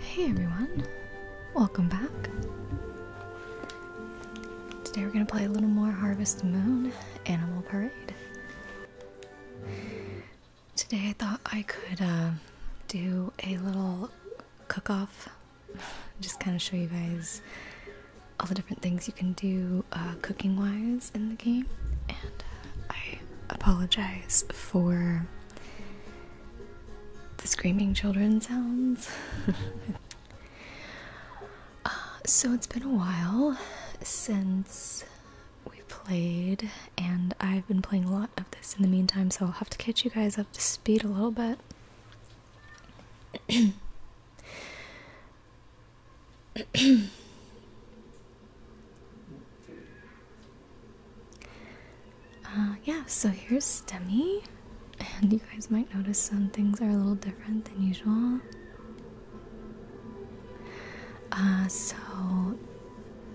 Hey everyone, welcome back. Today we're going to play a little more Harvest Moon Animal Parade. Today I thought I could um, do a little cook off, just kind of show you guys all the different things you can do uh, cooking wise in the game. And uh, I apologize for the screaming children sounds. Uh, so it's been a while since we played, and I've been playing a lot of this in the meantime, so I'll have to catch you guys up to speed a little bit. Uh, yeah, so here's STEMI, and you guys might notice some things are a little different than usual. Uh, so,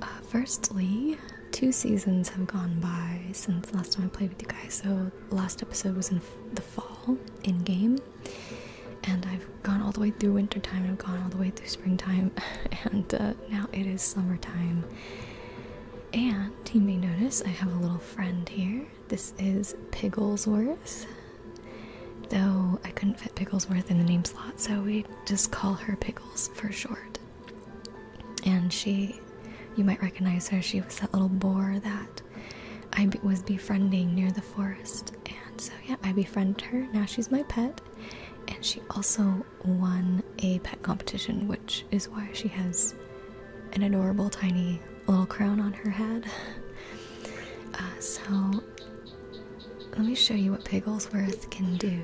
uh, firstly, two seasons have gone by since last time I played with you guys. So, last episode was in the fall in game, and I've gone all the way through wintertime, I've gone all the way through springtime, and now it is summertime. And you may notice I have a little friend here. This is Picklesworth, Though I couldn't fit Picklesworth in the name slot, so we just call her Pickles for short. And she, you might recognize her, she was that little boar that I was befriending near the forest. And so, yeah, I befriended her. Now she's my pet. And she also won a pet competition, which is why she has an adorable tiny little crown on her head. Uh, so, let me show you what Pigglesworth can do.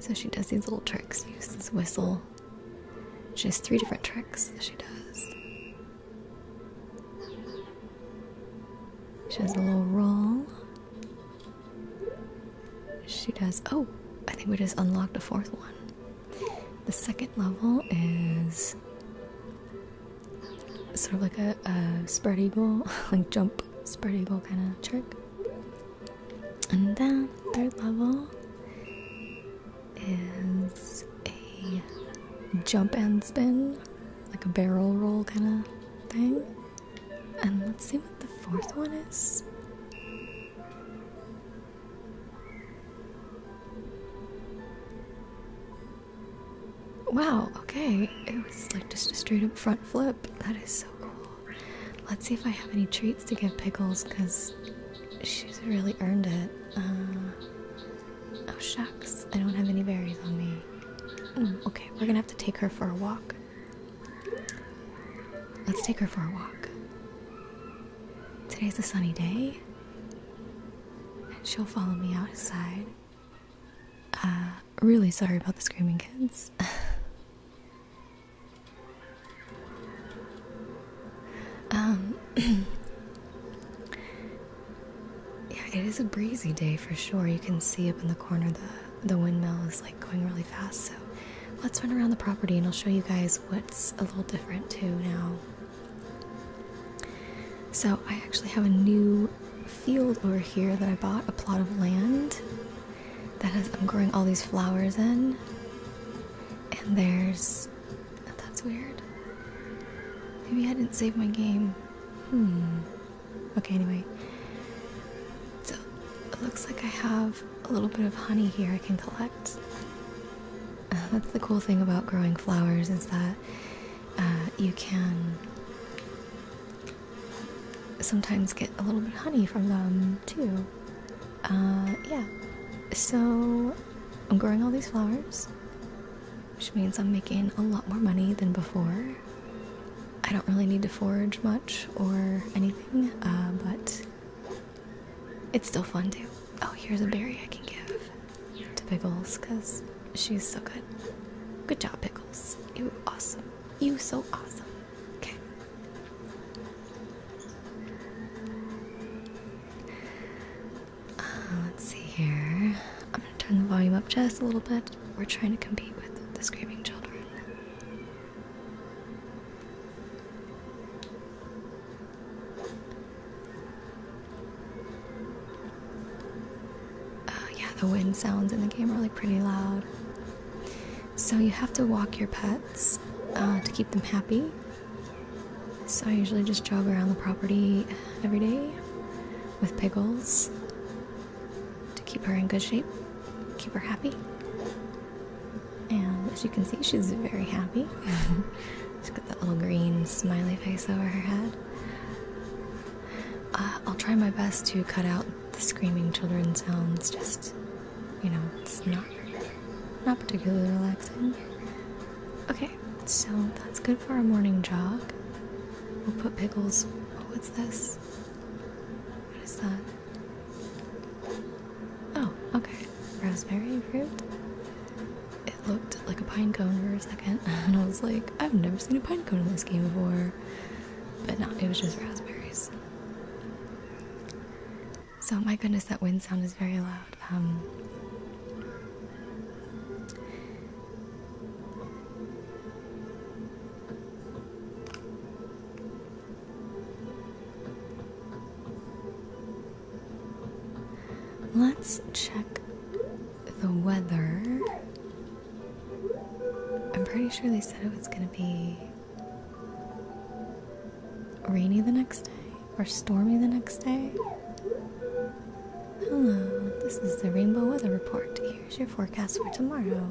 So, she does these little tricks, uses this whistle. She has three different tricks that she does. She has a little roll, she does. Oh, I think we just unlocked a fourth one. The second level is sort of like a, spread eagle, like jump spread eagle kind of trick. And then third level is a jump and spin, like a barrel roll kind of thing. And let's see what the fourth one is. Wow, okay. It was like just a straight up front flip. That is so cool. Let's see if I have any treats to give Pickles because she's really earned it. Uh, oh, shucks. I don't have any berries on me. Hmm, okay, we're gonna have to take her for a walk. Let's take her for a walk. Today's a sunny day, and she'll follow me outside. Uh, really sorry about the screaming kids. um, yeah, it is a breezy day for sure. You can see up in the corner the the windmill is like going really fast. So let's run around the property and I'll show you guys what's a little different too now. So I actually have a new field over here that I bought a plot of land that I'm growing all these flowers in. And there's that's weird. Maybe I didn't save my game. Hmm. Okay, anyway. So it looks like I have a little bit of honey here I can collect. that's the cool thing about growing flowers is that uh, you can sometimes get a little bit of honey from them too. Uh, yeah. So I'm growing all these flowers, which means I'm making a lot more money than before. I don't really need to forage much or anything, uh, but it's still fun too. Oh, here's a berry I can give to Pickles because she's so good. Good job, Pickles. You awesome. You so awesome. Okay. Uh, let's see here. I'm gonna turn the volume up just a little bit. We're trying to compete with the screaming children. Uh, yeah, the wind sounds in the game are really pretty loud. So you have to walk your pets uh, to keep them happy. So I usually just jog around the property every day with Pickles to keep her in good shape, keep her happy. And as you can see, she's very happy. she's got that little green smiley face over her head. Uh, I'll try my best to cut out the screaming children sounds. Just, you know, it's not not particularly relaxing. Okay, so that's good for a morning jog. We'll put pickles. Oh, what's this? What is that? Oh, okay. Raspberry root? It looked like a pine cone for a second, and I was like, I've never seen a pine cone in this game before. But no, it was just raspberries. So, my goodness, that wind sound is very loud. Um, Let's check the weather. I'm pretty sure they said it was going to be rainy the next day or stormy the next day. Hello, this is the Rainbow Weather Report. Here's your forecast for tomorrow.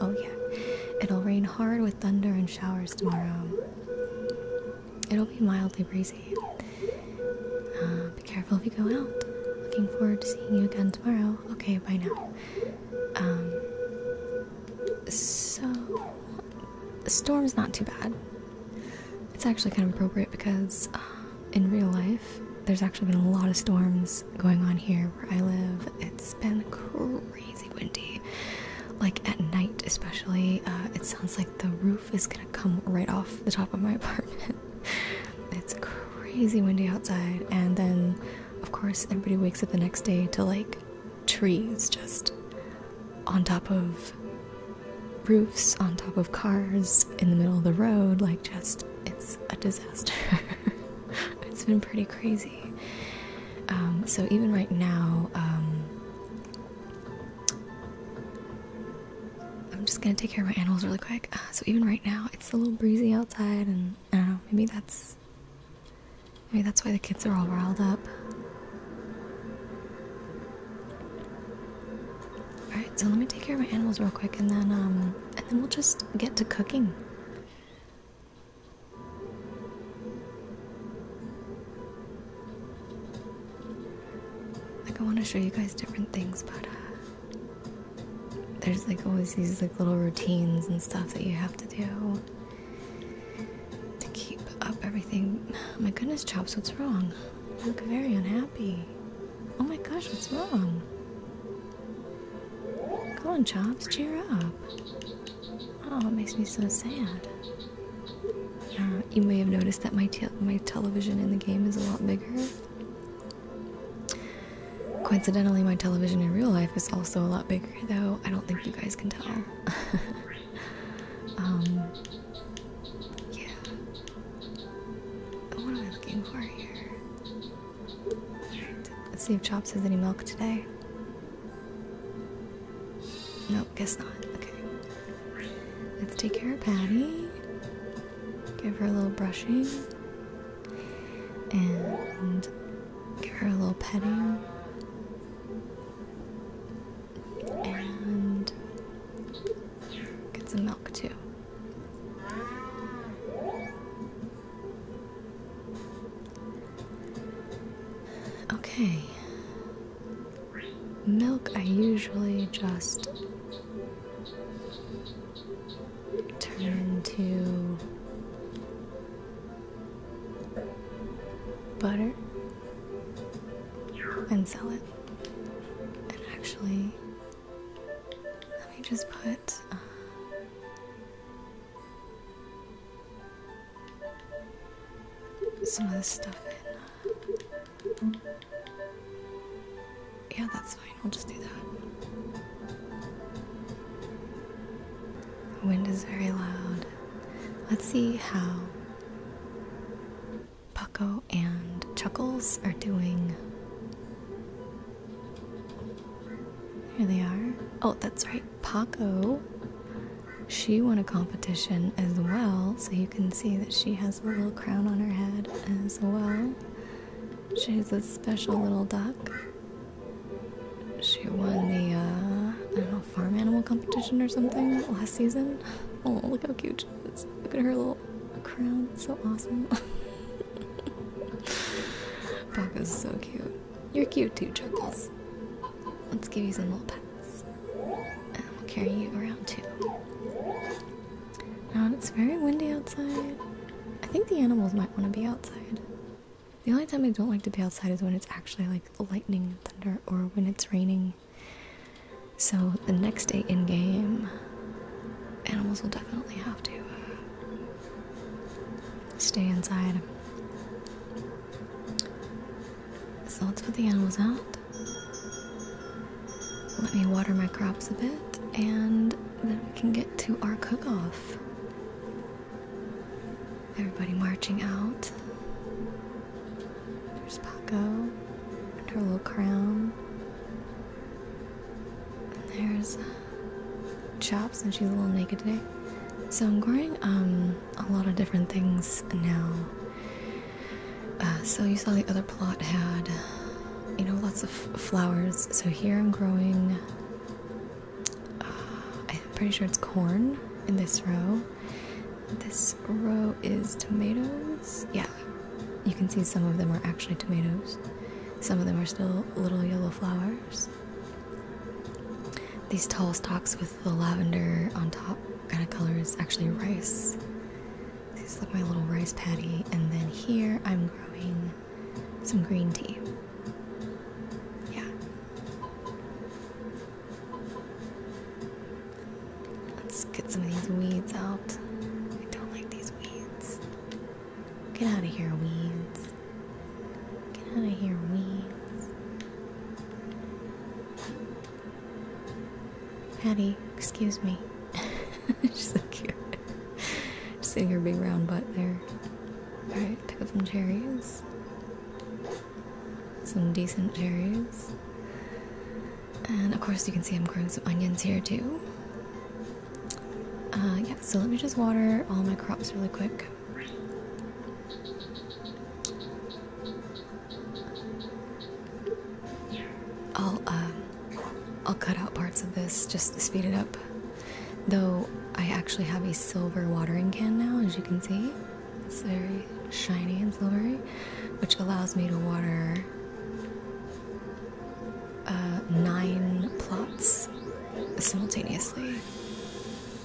Oh, yeah. It'll rain hard with thunder and showers tomorrow. It'll be mildly breezy. Uh, be careful if you go out. Looking forward to seeing you again tomorrow. Okay, bye now. Um, so, the storm's not too bad. It's actually kind of appropriate because uh, in real life, there's actually been a lot of storms going on here where I live. It's been crazy windy, like at night especially. Uh, it sounds like the roof is gonna come right off the top of my apartment. it's crazy windy outside, and then of course everybody wakes up the next day to like trees just on top of roofs, on top of cars, in the middle of the road. Like just, it's a disaster. it's been pretty crazy. Um, so even right now, um, I'm just gonna take care of my animals really quick. Uh, so even right now, it's a little breezy outside, and I don't know. Maybe that's maybe that's why the kids are all riled up. All right, so let me take care of my animals real quick, and then um, and then we'll just get to cooking. Like I want to show you guys different things, but uh, there's like always these like little routines and stuff that you have to do to keep up everything. my goodness, Chops, what's wrong? You look very unhappy. Oh my gosh, what's wrong? Go on, Chops, cheer up. Oh, it makes me so sad. you may have noticed that my, my television in the game is a lot bigger. Coincidentally, my television in real life is also a lot bigger, though I don't think you guys can tell. um, yeah. What am I looking for here? Let's see if Chops has any milk today. No, guess not. Okay. Let's take care of Patty. Give her a little brushing. And give her a little petting. And get some milk too. Okay. Milk, I usually just turn into butter and sell it. And actually, let me just put. Uh, some of this stuff in. Yeah, that's fine. We'll just do that. The wind is very loud. Let's see how Pucko and Chuckles are doing. Here they are. Oh, that's right, Paco. She won a competition as well, so you can see that she has a little crown on her head as well. She's a special little duck. She won the, uh, I don't know, farm animal competition or something last season. Oh, look how cute she is. Look at her little crown. so awesome. Paco's so cute. You're cute too, Chuckles. Let's give you some little pets, And we'll carry you around too. Now um, it's very windy outside. I think the animals might want to be outside. The only time I don't like to be outside is when it's actually like lightning and thunder or when it's raining. So the next day in game, animals will definitely have to uh, Stay inside. So let's put the animals out. Let me water my crops a bit, and then we can get to our cook off. Everybody marching out. There's Paco and her little crown. And there's. Uh, chops and she's a little naked today. So I'm growing um a lot of different things now. Uh, so you saw the other plot had you know lots of flowers. So here I'm growing. Uh, I'm pretty sure it's corn in this row. This row is tomatoes. Yeah, you can see some of them are actually tomatoes. Some of them are still little yellow flowers. These tall stalks with the lavender on top kind of color is actually rice. It's like my little rice patty, and then here I'm growing some green tea. Yeah. Let's get some of these weeds out. I don't like these weeds. Get out of here, weeds. Get out of here, weeds! Patty, excuse me. She's so cute. Just seeing her big round butt there. Alright, pick up some cherries. Some decent cherries. And of course, you can see I'm growing some onions here too. Uh, yeah, so let me just water all my crops really quick. I'll, uh, I'll cut out parts of this just to speed it up. Though I actually have a silver watering can now, as you can see. It's very shiny and silvery, which allows me to water uh, nine plots simultaneously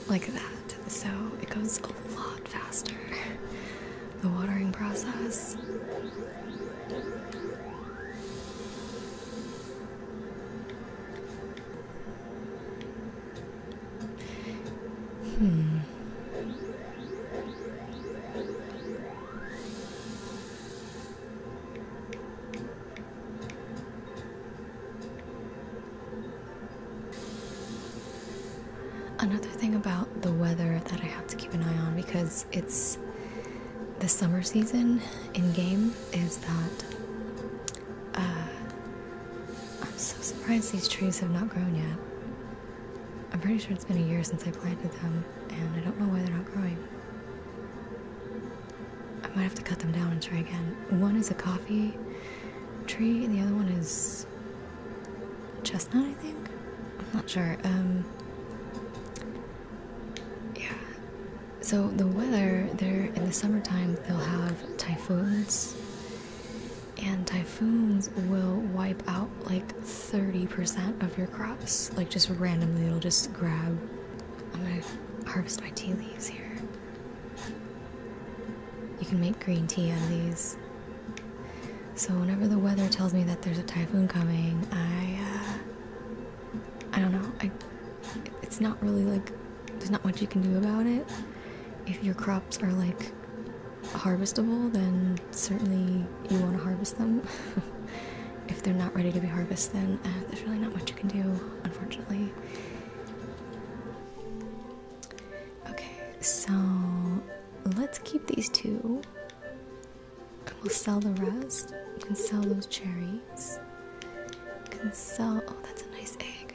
like that, so it goes a lot faster. The watering process. Hmm. Another thing about the weather that I have to keep an eye on because it's the summer season in game is that uh, I'm so surprised these trees have not grown yet. I'm pretty sure it's been a year since I planted them, and I don't know why they're not growing. I might have to cut them down and try again. One is a coffee tree, and the other one is chestnut, I think. I'm not sure. Um, yeah. So the weather there in the summertime, they'll have typhoons, and typhoons will wipe out like 30% of your crops. Like just randomly, it'll just grab. I'm gonna harvest my tea leaves here. You can make green tea out of these. So whenever the weather tells me that there's a typhoon coming, I uh, I don't know. it's not really like there's not much you can do about it. If your crops are like harvestable, then certainly you want to harvest them. if they're not ready to be harvested, then uh, there's really not much you can do, unfortunately. Okay, so let's keep these two and we'll sell the rest. You can sell those cherries. You can sell. Oh, that's a nice egg.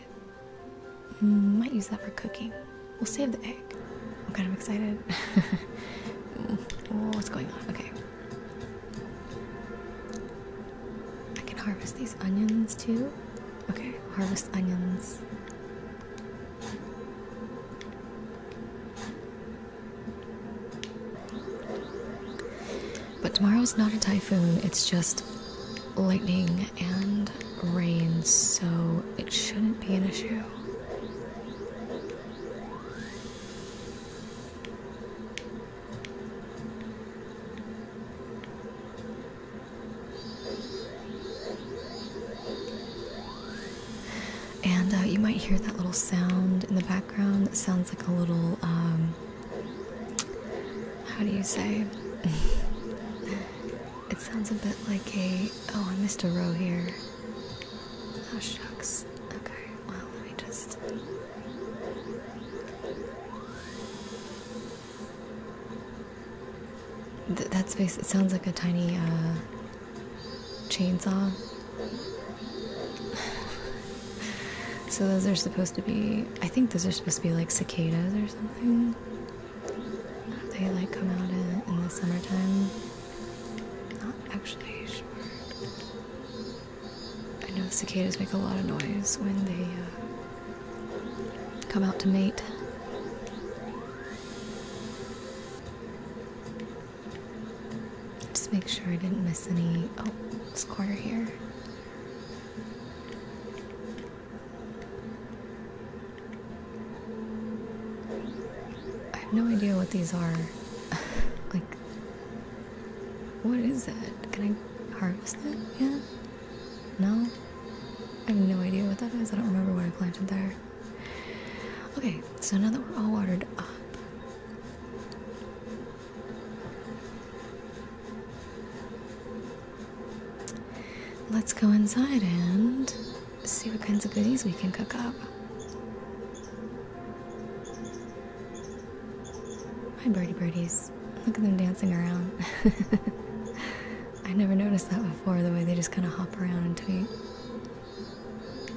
Might use that for cooking. We'll save the egg. I'm kind of excited. oh, what's going on? Okay. I can harvest these onions too. Okay, harvest onions. But tomorrow is not a typhoon, it's just lightning and rain, so it shouldn't be an issue. And uh, you might hear that little sound in the background. It sounds like a little, um, how do you say? it sounds a bit like a. Oh, I missed a row here. Oh, shucks. Okay, well, let me just that space, it sounds like a tiny uh, chainsaw. so those are supposed to be, I think those are supposed to be like cicadas or something. They like come out in, the summertime. Not actually sure. I know cicadas make a lot of noise when they uh, come out to mate. Just make sure I didn't miss any. Oh, this corner here. I have no idea what these are. like, what is that? Can I harvest it? Yeah. No? I have no idea what that is. I don't remember what I planted there. Okay, so now that we're all watered up, let's go inside and see what kinds of goodies we can cook up. Hi, birdie birdies. Look at them dancing around. I never noticed that before, the way they just kind of hop around and tweet.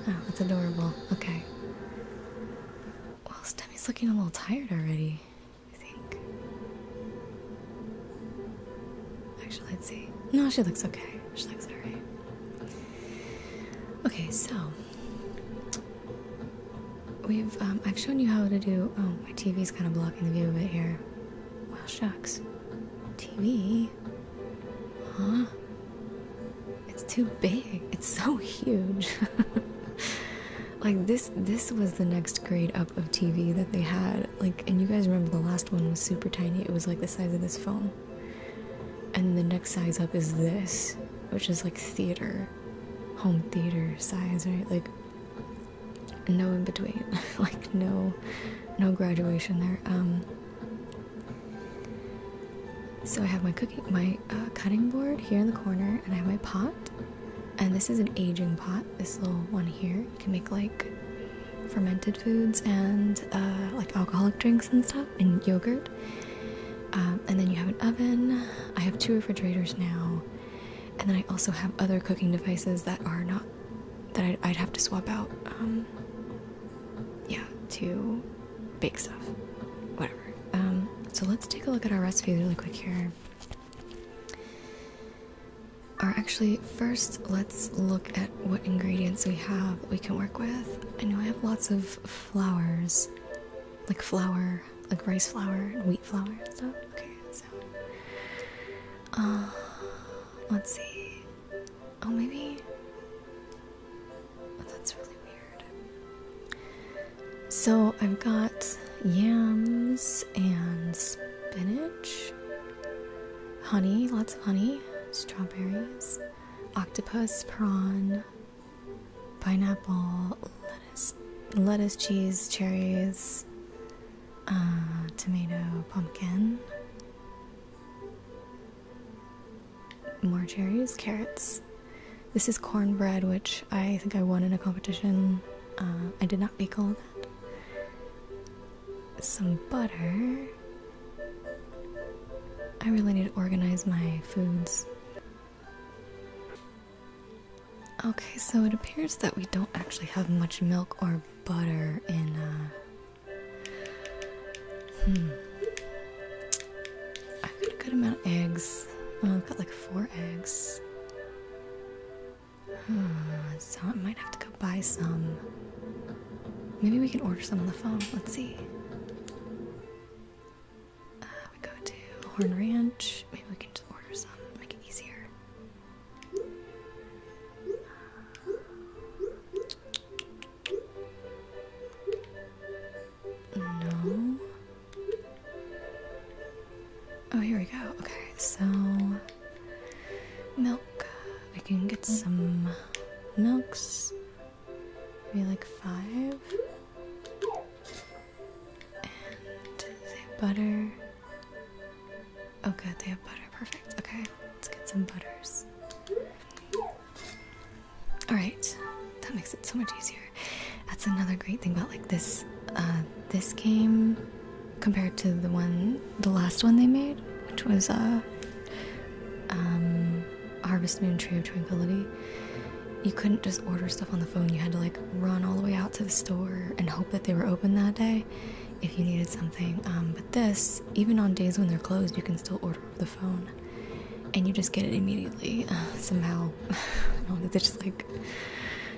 Oh, that's adorable. Okay. Well, Stemmy's looking a little tired already, I think. Actually, let's see. No, she looks okay. She looks alright. Okay, so we've um, I've shown you how to do. Oh, my TV is kind of blocking the view of it here. Well, shucks. TV? Huh? It's too big. It's so huge. like this. This was the next grade up of TV that they had. Like, and you guys remember the last one was super tiny. It was like the size of this phone. And the next size up is this, which is like theater, home theater size, right? Like no in between like no no graduation there um so i have my uh, cutting board here in the corner and i have my pot and this is an aging pot this little one here you can make like fermented foods and uh, like alcoholic drinks and stuff and yogurt um, and then you have an oven i have two refrigerators now and then I also have other cooking devices that are not that I'd, have to swap out. Um, yeah, to bake stuff, whatever. Um, so let's take a look at our recipes really quick here. Are actually first let's look at what ingredients we have we can work with. I know I have lots of flours, like flour, like rice flour wheat flour and stuff. Okay, so, uh, let's see. Oh, maybe. Oh, that's really weird. So I've got yams and spinach, honey, lots of honey, strawberries, octopus, prawn, pineapple, lettuce, lettuce, cheese, cherries, uh, tomato, pumpkin, more cherries, carrots. This is cornbread, which I think I won in a competition. Uh, I did not bake all that. Some butter. I really need to organize my foods. Okay, so it appears that we don't actually have much milk or butter in, uh. Hmm. I've got a good amount of eggs. I've got like four eggs. Hmm, so I might have to go buy some. Maybe we can order some on the phone. Let's see. Uh, we go to Horn Ranch. Maybe we can just order some, make it easier. No. Oh, here we go. Okay, so milk. I can get some milks. Maybe like five. And butter. Oh good, they have butter. Perfect. Okay, let's get some butters. Alright, that makes it so much easier. That's another great thing about like this uh, this game compared to the one the last one they made, which was uh, um, Harvest Moon Tree of Tranquility. You couldn't just order stuff on the phone, you had to like run all the way out to the store and hope that they were open that day if you needed something. Um, but this, even on days when they're closed, you can still order over the phone and you just get it immediately. Uh, somehow, they just like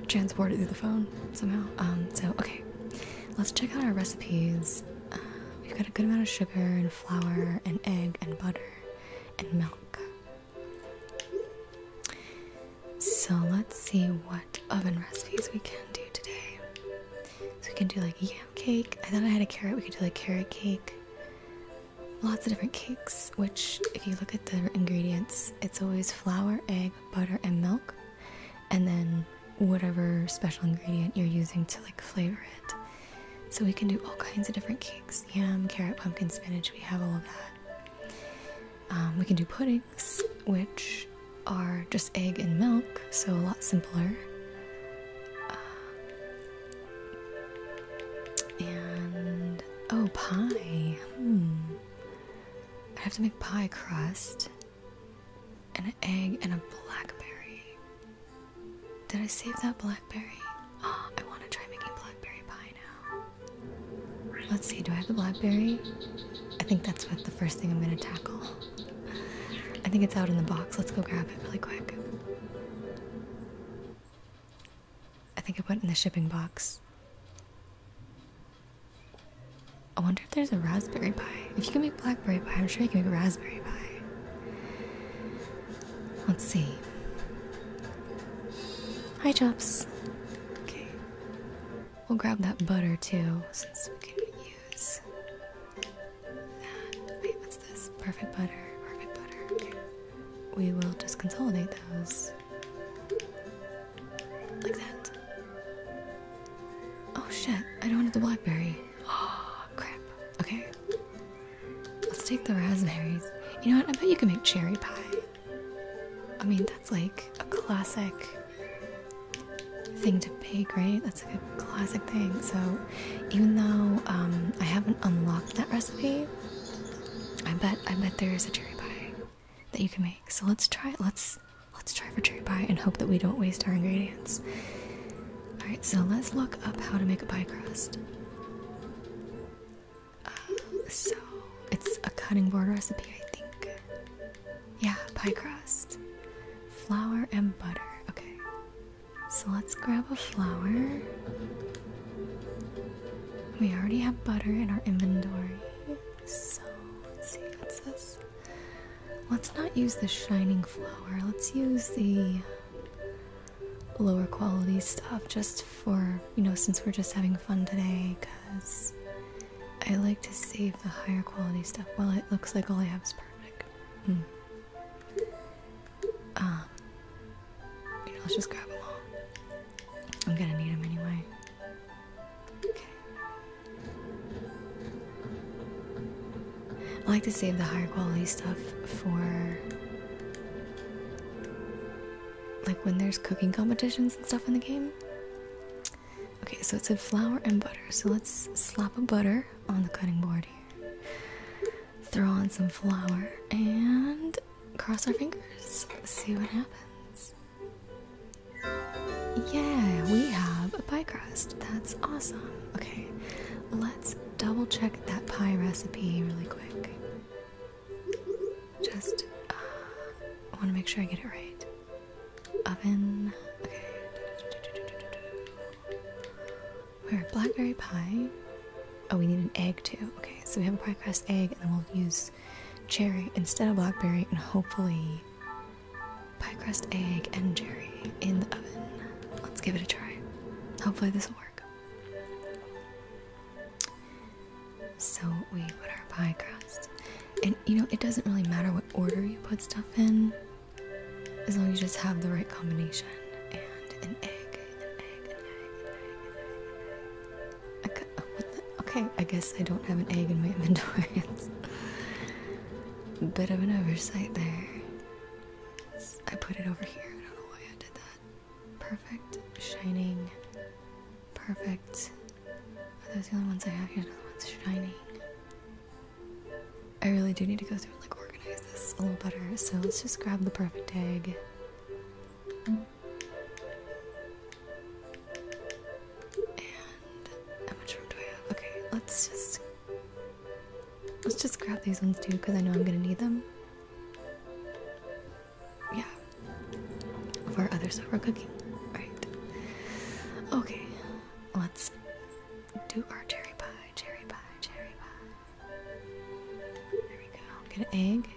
transport it through the phone somehow. Um, so, okay, let's check out our recipes. Uh, we've got a good amount of sugar and flour and egg and butter and milk. So let's see what oven recipes we can do today. So we can do like yam cake. I thought I had a carrot. We can do like carrot cake. Lots of different cakes, which if you look at the ingredients, it's always flour, egg, butter, and milk. And then whatever special ingredient you're using to like flavor it. So we can do all kinds of different cakes yam, carrot, pumpkin, spinach, we have all of that. Um, we can do pudding, which are just egg and milk, so a lot simpler. Uh, and oh, pie. Hmm. I have to make pie crust and an egg and a blackberry. Did I save that blackberry? Oh, I want to try making blackberry pie now. Let's see, do I have a blackberry? I think that's what the first thing I'm gonna tackle. I think it's out in the box. Let's go grab it really quick. I think I put it in the shipping box. I wonder if there's a raspberry pie. If you can make blackberry pie, I'm sure you can make raspberry pie. Let's see. Hi, Jops. Okay. We'll grab that butter too, since we can use that. Perfect butter, perfect butter. We will just consolidate those. Like that. Oh shit, I don't want the blackberry. Oh, crap. Okay. Let's take the raspberries. You know what? I bet you can make cherry pie. I mean, that's like a classic thing to bake, right? That's like a classic thing. So, even though um, I haven't unlocked that recipe, I bet I bet there is a cherry pie that you can make. So let's try. it. Let's let's try for cherry pie and hope that we don't waste our ingredients. All right. So let's look up how to make a pie crust. Uh, so it's a cutting board recipe, I think. Yeah, pie crust. Flour and butter. Okay. So let's grab a flour. We already have butter in our inventory. So let's see what's this. Let's not use the shining flour. Let's use the lower quality stuff just for, you know, since we're just having fun today because I like to save the higher quality stuff while well, it looks like all I have is perfect. Hmm. Um, let's just grab them all. I'm gonna need them anyway. Okay. I like to save the higher quality stuff for. Like when there's cooking competitions and stuff in the game, Okay, so it said flour and butter. So let's slap a butter on the cutting board here. Throw on some flour and cross our fingers. See what happens. Yeah, we have a pie crust. That's awesome. Okay, let's double check that pie recipe really quick. Just uh, want to make sure I get it right oven. Okay. We're blackberry pie. Oh, we need an egg too. Okay, so we have a pie crust egg, and then we'll use cherry instead of blackberry, and hopefully pie crust egg and cherry in the oven. Let's give it a try. Hopefully this will work. So we put our pie crust, and you know it doesn't really matter what order you put stuff in, as long as you just have the right combination. And an egg, Okay, I guess I don't have an egg in my inventory. It's a bit of an oversight there. I put it over here. I don't know why I did that. Perfect, shining, perfect. Are those the only ones I have? Here's another one's shining. I really do need to go through and like organize this a little better. So let's just grab the perfect egg. And how much room do I have? Okay, let's just let's just grab these ones too, because I know I'm gonna need them. Yeah. For other stuff we're cooking. Alright. Okay, let's do our cherry pie, cherry pie, cherry pie. There we go. Get an egg.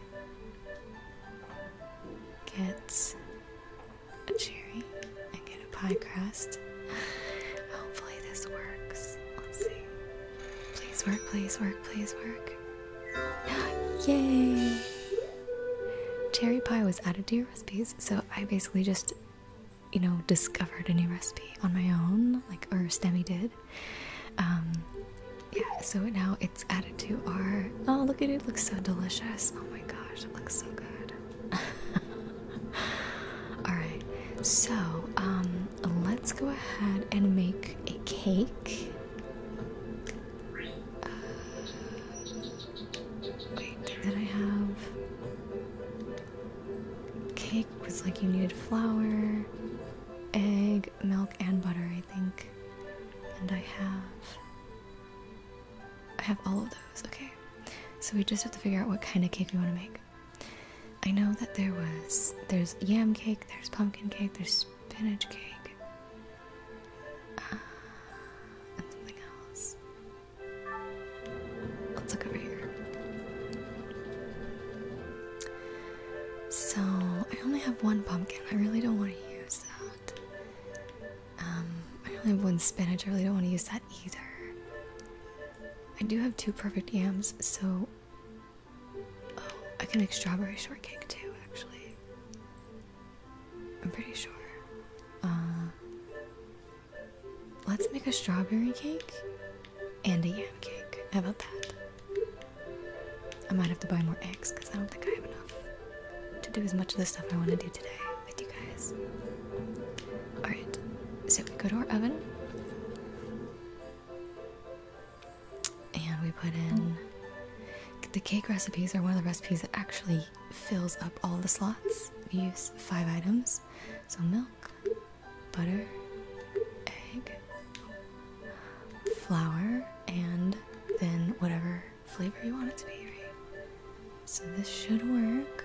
Get a cherry and get a pie crust. Hopefully this works. Let's see. Please work, please work, please work. Yay! Cherry pie was added to your recipes, so I basically just, you know, discovered a new recipe on my own, like, or Stemmy did. Um, yeah, so now it's added to our. Oh, look at it, it looks so delicious. Oh my gosh, it looks so good. Alright, so, um, let's go ahead and make a cake. Uh, then I have cake was like you needed flour, egg, milk, and butter, I think. And I have I have all of those, okay. So we just have to figure out what kind of cake you want to make. I know that there was there's yam cake, there's pumpkin cake, there's spinach cake, uh, and something else. Let's look over here. So, I only have one pumpkin. I really don't want to use that. Um, I only have one spinach. I really don't want to use that either. I do have two perfect yams, so. Oh, I can make strawberry shortcake too, actually. I'm pretty sure. Uh, let's make a strawberry cake and a yam cake. How about that? I might have to buy more eggs because I don't think I have enough to do as much of the stuff I want to do today with you guys. Alright, so we go to our oven and we put in. The cake recipes are one of the recipes that actually fills up all the slots. use five items so milk, butter, egg, flour, and then whatever flavor you want it to be, So this should work.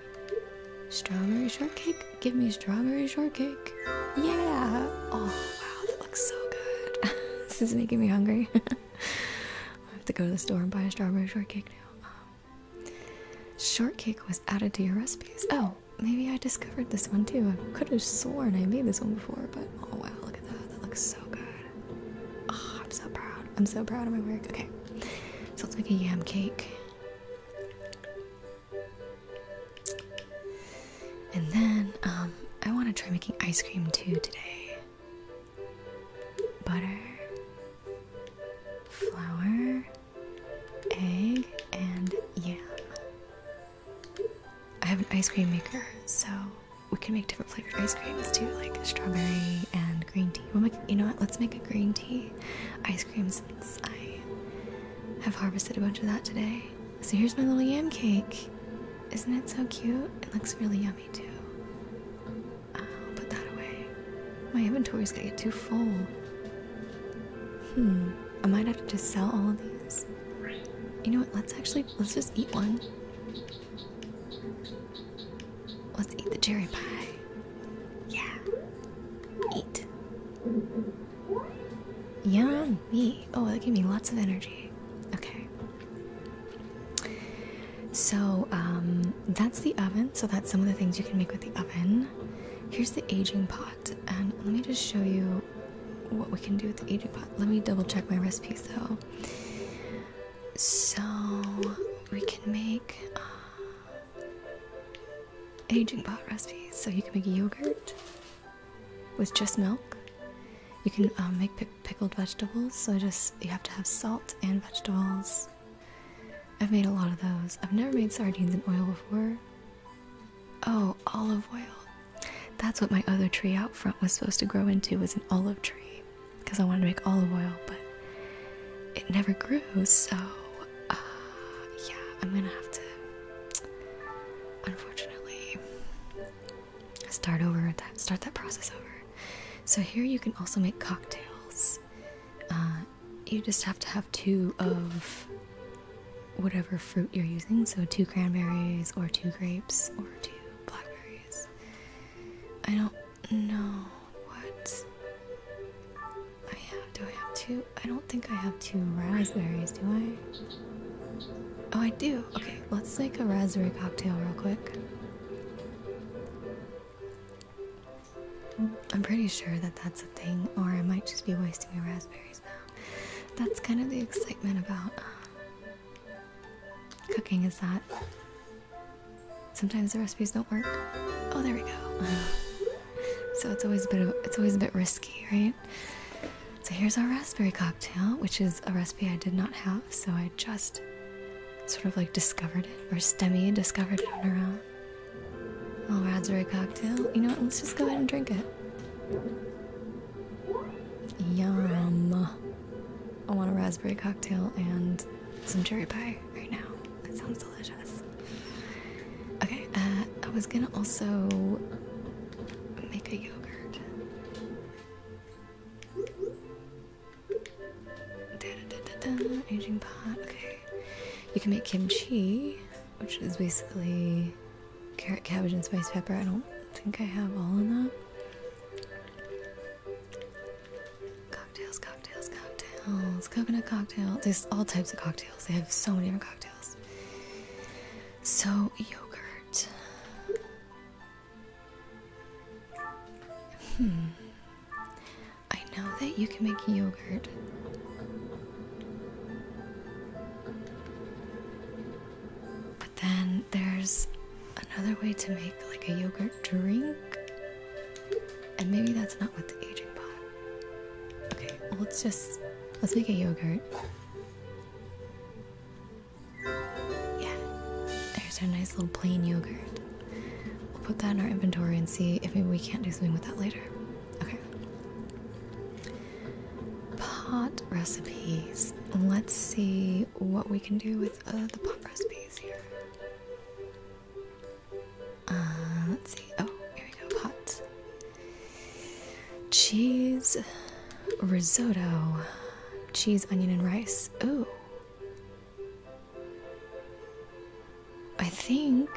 Strawberry shortcake? Give me strawberry shortcake. Yeah! Oh, wow, that looks so good. this is making me hungry. I have to go to the store and buy a strawberry shortcake now. Um, Shortcake was added to your recipes. Oh, maybe I discovered this one too. I could have sworn I made this one before, but oh wow, look at that. That looks so good. Ah, I'm so proud. I'm so proud of my work. Okay, so let's make a yam cake. And then um, I want to try making ice cream too today butter, flour, egg, and yam. I have an ice cream maker, so we can make different flavored ice creams too, like strawberry and green tea. we you know what? Let's make a green tea ice cream since I have harvested a bunch of that today. So here's my little yam cake. Isn't it so cute? It looks really yummy too. I'll put that away. My inventory's gonna get too full. Hmm. I might have to just sell all of these. You know what? Let's actually let's just eat one. Let's eat the cherry pie. Yeah. Eat. Yummy. Oh, that gave me lots of energy. Okay. So um, that's the oven. So that's some of the things you can make with the oven. Here's the aging pot, and let me just show you what we can do with the aging pot. Let me double check my recipes though. So we can make uh, aging pot recipes. So you can make yogurt with just milk. You can uh, make pickled vegetables. So just you have to have salt and vegetables. I've made a lot of those. I've never made sardines in oil before. Oh, olive oil. That's what my other tree out front was supposed to grow into was an olive tree because I wanted to make olive oil, but it never grew, so uh, yeah, I'm gonna have to unfortunately start over start that process over. So here you can also make cocktails. Uh, you just have to have two of whatever fruit you're using, so two cranberries or two grapes or two blackberries. I don't know what I have. Do I have two? I don't think I have two raspberries, do I? Oh, I do. Okay, let's make a raspberry cocktail real quick. I'm pretty sure that that's a thing, or I might just be wasting my raspberries now. That's kind of the excitement about uh, cooking is that sometimes the recipes don't work. Oh, there we go. so it's always a bit it's always a bit risky, right? So here's our raspberry cocktail, which is a recipe I did not have, so I just sort of like discovered it, or STEMI discovered it on her own. Oh, raspberry cocktail. You know what? Let's just go ahead and drink it. Yum. I want a raspberry cocktail and some cherry pie right now. That sounds delicious. Okay, uh, I was gonna also make a yogurt. Aging pot. Okay. You can make kimchi, which is basically carrot, cabbage, and spice pepper. I don't think I have all that. Cocktails, cocktails, cocktails. Coconut cocktail. There's all types of cocktails. They have so many different cocktails. So, yogurt. Hmm. I know that you can make yogurt. But then there's another way to make like a yogurt drink. And maybe that's not what the aging pot. Okay, let's just let's make a yogurt. Yeah. There's our nice little plain yogurt. We'll put that in our inventory and see if maybe we can't do something with that later. Okay. Pot recipes. Let's see what we can do with uh, the pot recipes here. Uh, let's see. Oh, here we go. Pot. Cheese risotto. Cheese, onion, and rice. Ooh. I think.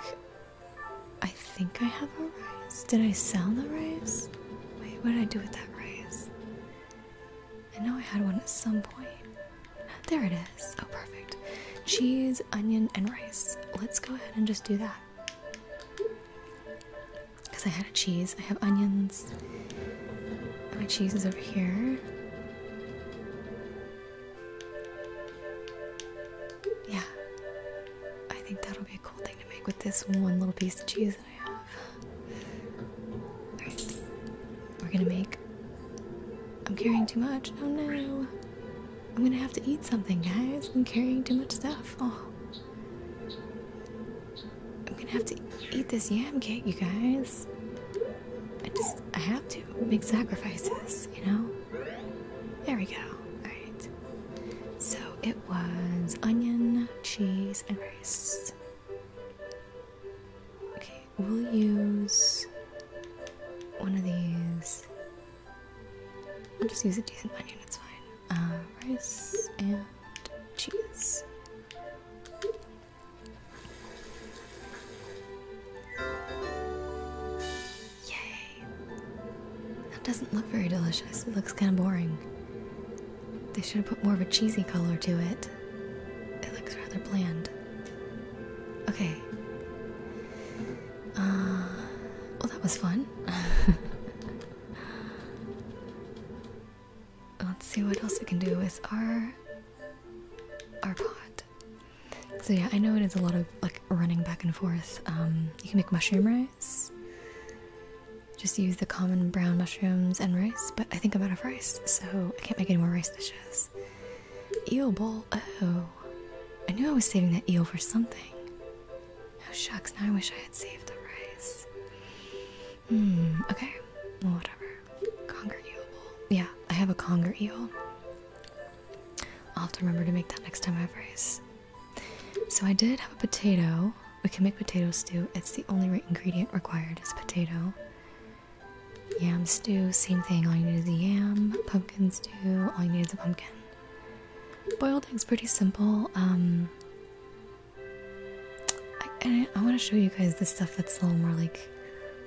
I think I have a rice. Did I sell the rice? Wait, what did I do with that rice? I know I had one at some point. There it is. Oh, perfect. Cheese, onion, and rice. Let's go ahead and just do that. Because I had a cheese, I have onions. my cheese is over here. Yeah. I think that'll be a cool thing to make with this one little piece of cheese that I have. We're gonna make. I'm carrying too much. Oh no. I'm gonna have to eat something, guys. I'm carrying too much stuff. Oh. I'm gonna have to eat this yam cake, you guys. I just, I have to make sacrifices, you know? There we go. Alright. So it was onion, cheese, and rice. Okay, we'll use one of these. I'll just use a decent onion, it's fine. Uh, rice and cheese. Yay! That doesn't look very delicious. It looks kind of boring. They should have put more of a cheesy color to it. It looks rather bland. Okay. Uh, well, that was fun. Let's see what else we can do with our our pot. So yeah, I know it is a lot of like running back and forth. Um, you can make mushroom rice. Just use the common brown mushrooms and rice, but I think I'm out of rice, so I can't make any more rice dishes. Eel bowl. Oh, I knew I was saving that eel for something. Oh shucks! Now I wish I had saved the rice. Hmm. Okay. whatever. Conger eel bowl. Yeah, I have a conger eel. I'll have to remember to make that next time I have rice. So I did have a potato. We can make potato stew. It's the only right ingredient required is potato. Yam stew, same thing. All you need is the yam. Pumpkin stew, all you need is a pumpkin. Boiled eggs, pretty simple. Um, I want to show you guys the stuff that's a little more like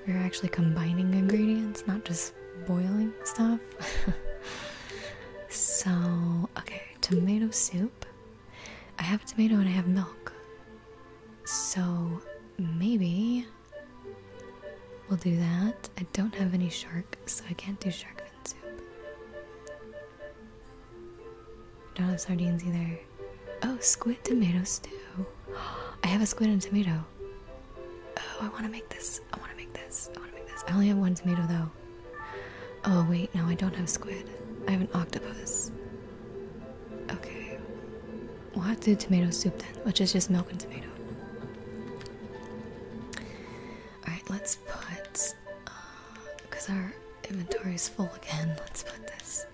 we're actually combining ingredients, not just boiling stuff. so, okay, tomato soup. I have a tomato and I have milk. So, maybe we'll do that. I don't have any shark, so I can't do shark fin soup. don't have sardines either. Oh, squid tomato stew. I have a squid and tomato. Oh, I want to make this. I want to make this. I want to make this. I only have one tomato though. Oh, wait, no, I don't have squid. I have an octopus. Okay. We'll have to do tomato soup then, which is just milk and tomato. Alright, let's put. Because uh, our inventory is full again, let's put this.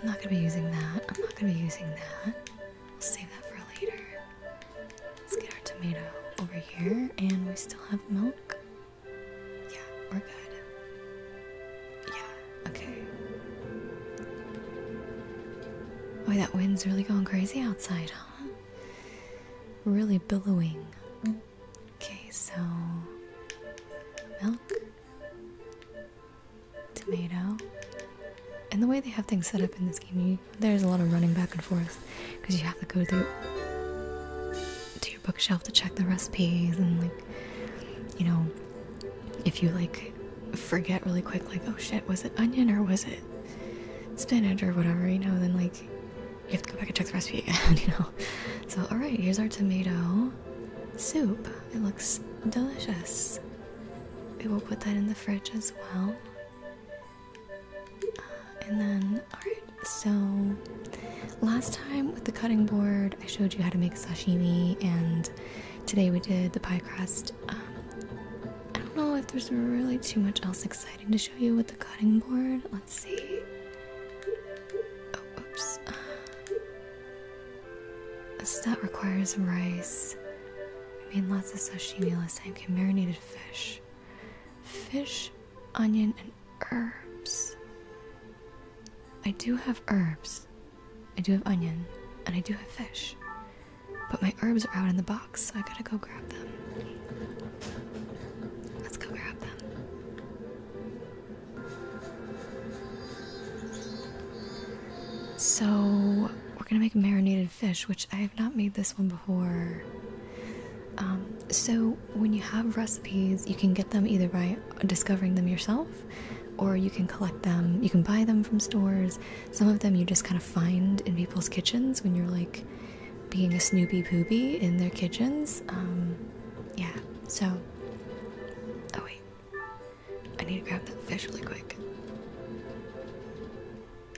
I'm not gonna be using that. I'm not gonna be using that. We'll save that for later. Let's get our tomato over here, and we still have milk. Yeah, we're good. Yeah, okay. Boy, that wind's really going crazy outside, huh? Really billowing. Okay, so milk tomato. And the way they have things set up in this game, there's a lot of running back and forth because you have to go to your bookshelf to check the recipes and like, you know, if you like forget really quick, like oh shit, was it onion or was it spinach or whatever, you know, then like you have to go back and check the recipe again, you know. So all right, here's our tomato soup. It looks delicious we will put that in the fridge as well. Uh, and then, alright, so last time with the cutting board, I showed you how to make sashimi, and today we did the pie crust. Um, I don't know if there's really too much else exciting to show you with the cutting board. Let's see. Oh, oops. Uh, that requires rice. I mean, lots of sashimi last time. Okay, marinated fish. Fish, onion, and herbs. I do have herbs. I do have onion. And I do have fish. But my herbs are out in the box, so I gotta go grab them. Let's go grab them. So, we're gonna make marinated fish, which I have not made this one before. Um, so, when you have recipes, you can get them either by discovering them yourself or you can collect them. You can buy them from stores. Some of them you just kind of find in people's kitchens when you're like being a Snoopy Poopy in their kitchens. Um, yeah, so. Oh, wait. I need to grab that fish really quick.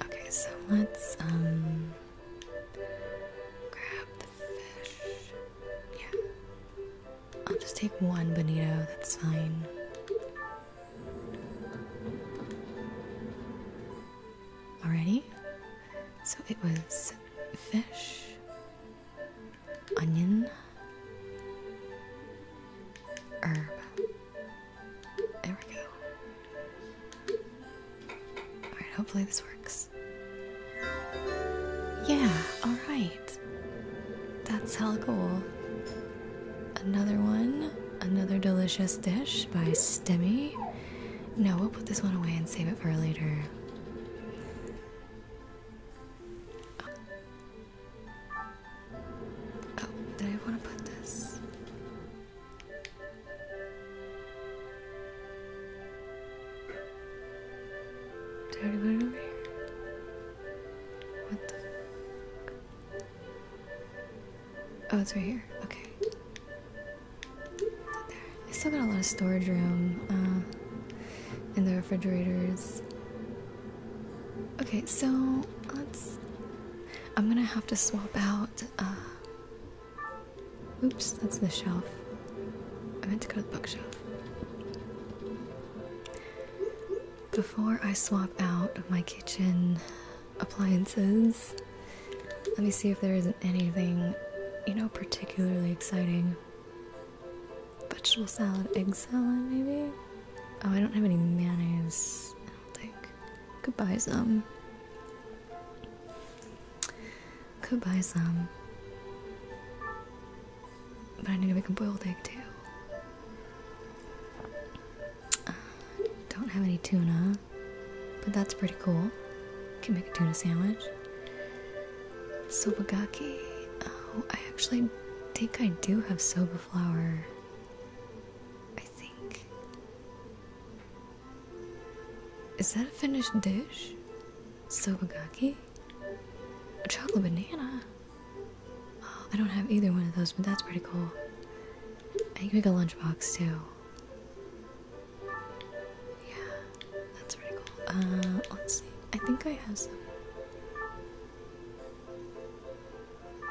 Okay, so let's um grab the fish. Yeah. I'll just take one bonito, that's fine. Already? So it was fish, onion, herb. There we go. Alright, hopefully this works. Yeah, alright. That's hell cool. Another one. Another delicious dish by Stemmy. No, we'll put this one away and save it for later. Oh, did I want to put this? Did I put it over here? What the Oh, it's right here. Okay. There. I still got a lot of storage room uh, in the refrigerators. Okay, so let's. I'm gonna have to swap out. Uh, oops, that's the shelf. I meant to go to the bookshelf. Before I swap out my kitchen appliances, let me see if there isn't anything, you know, particularly exciting. Vegetable salad, egg salad, maybe? Oh, I don't have any mayonnaise, I don't think. Goodbye, buy some. Could some. But I need to make a boiled egg too. Uh, don't have any tuna, but that's pretty cool. Can make a tuna sandwich. Soba Sobagaki. Oh, I actually think I do have soba flour. Is that a finished dish? Sobagaki? A chocolate banana? Oh, I don't have either one of those, but that's pretty cool. I make a lunchbox too. Yeah, that's pretty cool. Uh, let's see. I think I have some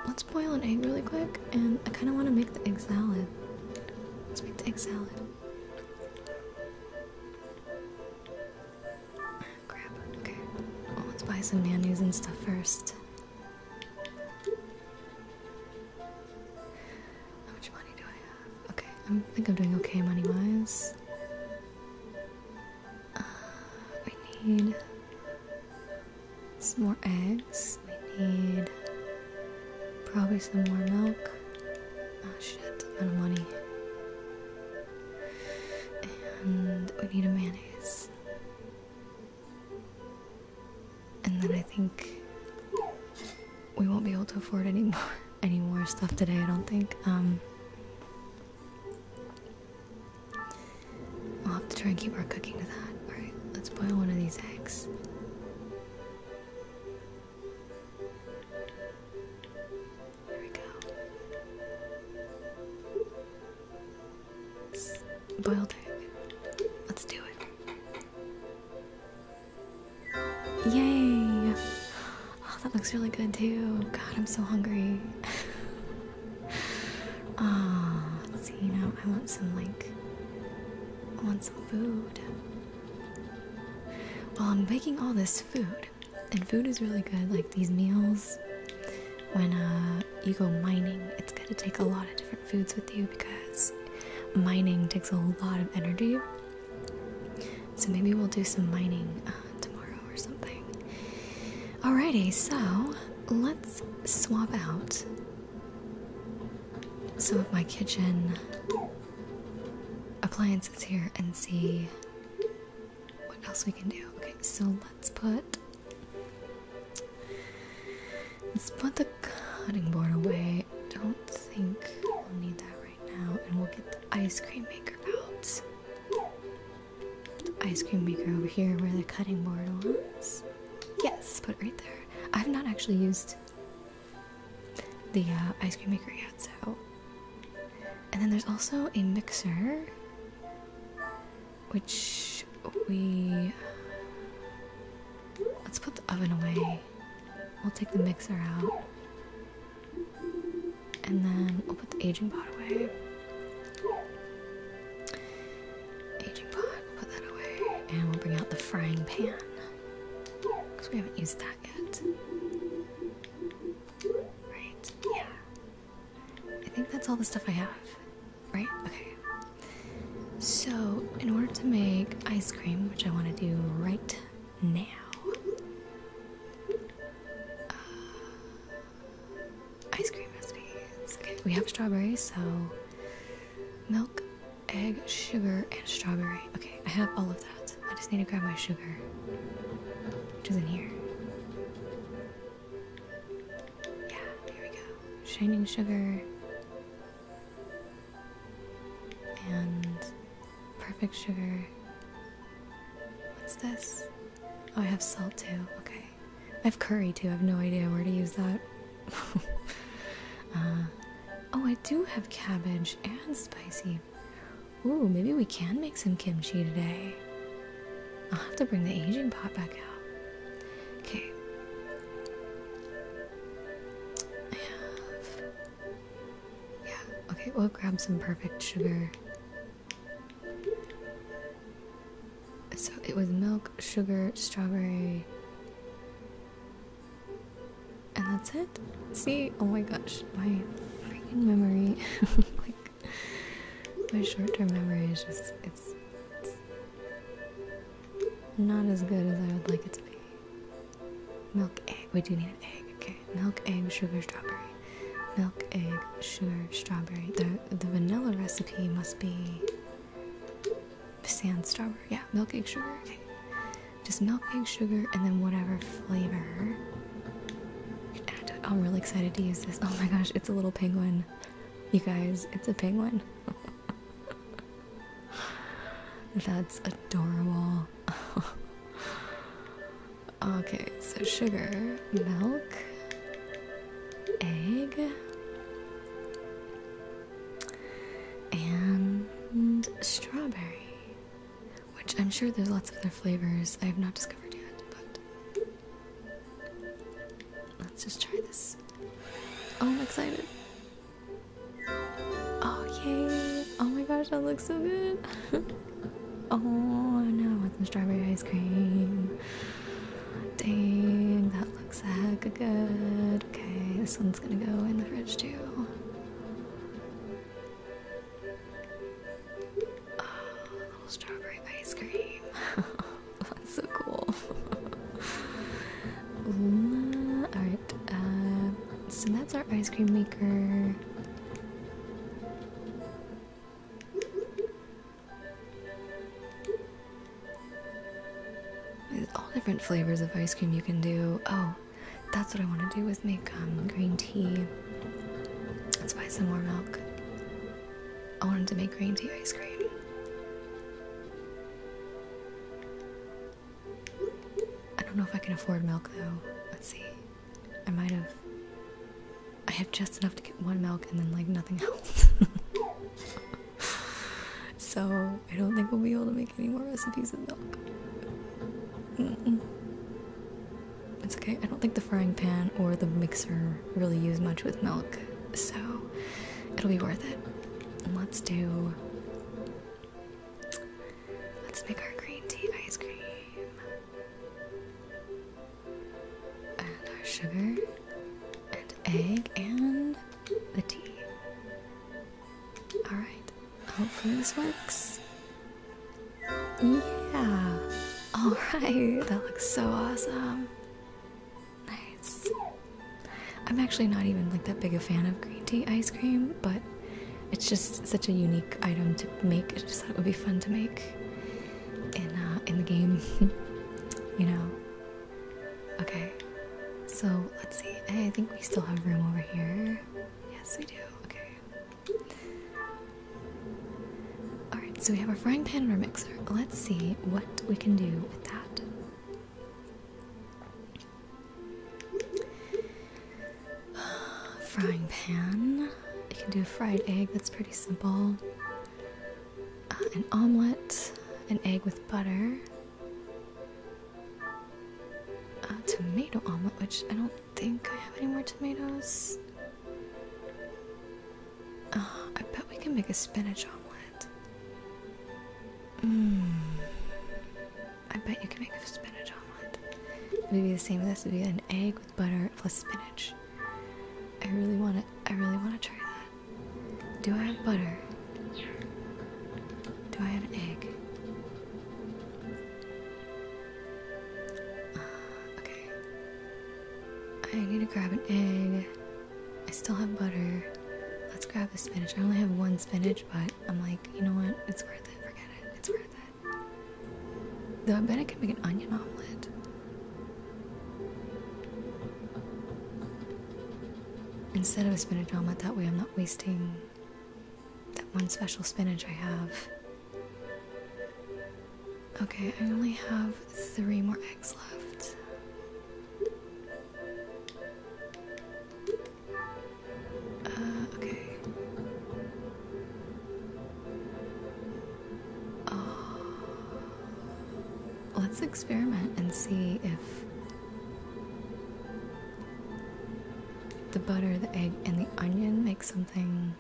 let's boil an egg really quick, and I kind of want to make the egg salad. Let's make the egg salad. Crap. Okay. let's buy some mayonnaise and stuff first. How much money do I have? Okay, i think I'm doing okay money-wise. Uh, need some more eggs. We need probably some more milk. Ah, oh, shit, out of money. And we need a mayonnaise. And then I think we won't be able to afford any more, any more stuff today, I don't think. Um, We'll have to try and keep our cooking to that. Alright, let's boil one of these eggs. There we go. boiled egg. Let's do it. Yay! Oh, that looks really good too. God, I'm so hungry. Ah, oh, see I want some like want some food. Well, I'm baking all this food, and food is really good. Like these meals, when uh, you go mining, it's gonna take a lot of different foods with you because mining takes a lot of energy. So maybe we'll do some mining uh, tomorrow or something. Alrighty, so let's swap out some of my kitchen appliances here and see what else we can do. Okay, so let's put let's put the cutting board away. Don't think we'll need that right now, and we'll get the ice cream maker out. The ice cream maker over here where the cutting board was. Yes, put it right there. I've not actually used the uh, ice cream maker yet, so. And then there's also a mixer, which we. Let's put the oven away. We'll take the mixer out. And then we'll put the aging pot away. Aging pot, put that away. And we'll bring out the frying pan. Because we haven't used that yet. Right? Yeah. I think that's all the stuff I have. Right? Okay. So, in order to make ice cream, which I want to do right now, uh, ice cream recipes. Okay, we have strawberries, so milk, egg, sugar, and strawberry. Okay, I have all of that. I just need to grab my sugar, which is in here. Yeah, here we go. Shining sugar. And perfect sugar. What's this? Oh, I have salt too. Okay. I have curry too. I have no idea where to use that. Uh, oh, I do have cabbage and spicy. Ooh, maybe we can make some kimchi today. I'll have to bring the aging pot back out. Okay. I have. Yeah, okay, we'll grab some perfect sugar so it was milk, sugar, strawberry, and that's it. See, oh my gosh, my freaking memory, like my short-term memory is just it's, not as good as I would like it to be. Milk, egg. We do need an egg. Okay, milk, egg, sugar, strawberry. Milk, egg, sugar, strawberry. The the vanilla recipe must be sand strawberry, yeah, milk egg sugar, Just milk egg sugar and then whatever flavor. I'm really excited to use this. Oh my gosh, it's a little penguin. You guys, it's a penguin. That's adorable. okay, so sugar, milk, egg and strawberry, which I'm sure there's lots of other flavors I have not discovered yet, but let's just try this. Oh, I'm excited. Oh, yay! Oh my gosh, that looks so good! oh no, I want some strawberry ice cream. Dang, that looks a heck of good. Okay, this one's gonna go in the fridge too. Oh, little strawberry ice cream. That's so cool. all right, uh, so that's our ice cream maker all different flavors of ice cream you can do. Oh, that's what I want to do with make um, green tea. Let's buy some more milk. I wanted to make green tea ice cream. I don't know if I can afford milk though. Let's see. I might have. I have just enough to get one milk and then, like, nothing else so I don't think we'll be able to make any more recipes with milk. It's okay. I don't think the frying pan or the mixer really use much with milk, so it'll be worth it. let's do. Let's make our green tea ice cream. And our sugar and egg and the tea. Alright, hopefully this works. Yeah! Alright, that looks so awesome. Nice. I'm actually not even like that big a fan of green tea ice cream, but it's just such a unique item to make. I just thought it would be fun to make in uh, in the game. you know, Okay, so let's see. Hey, I think we still have room over here. Yes, we do. Okay. Alright, so we have our frying pan and our mixer. Let's see what we can do with that. frying pan. You can do a fried egg, that's pretty simple. Uh, an omelette, an egg with butter. Uh, tomato omelet, which I don't think I have any more tomatoes. Uh, I bet we can make a spinach omelet. Mmm. I bet you can make a spinach omelet. It would be the same as this. It would be an egg with butter plus spinach. I really want to. I really want to try that. Do I have butter? Do I have an egg? Uh, okay. I need to grab an egg. I still have butter. Let's grab the spinach. I only have one spinach, but I'm like, you know what? It's worth it. Forget it. It's worth it. Though I bet I can make an onion omelet instead of a spinach omelette. That way I'm not wasting that one special spinach I have. Okay, I only have three more eggs left. Uh, okay. Ah. Let's experiment and see if the butter, the egg, and the onion make something.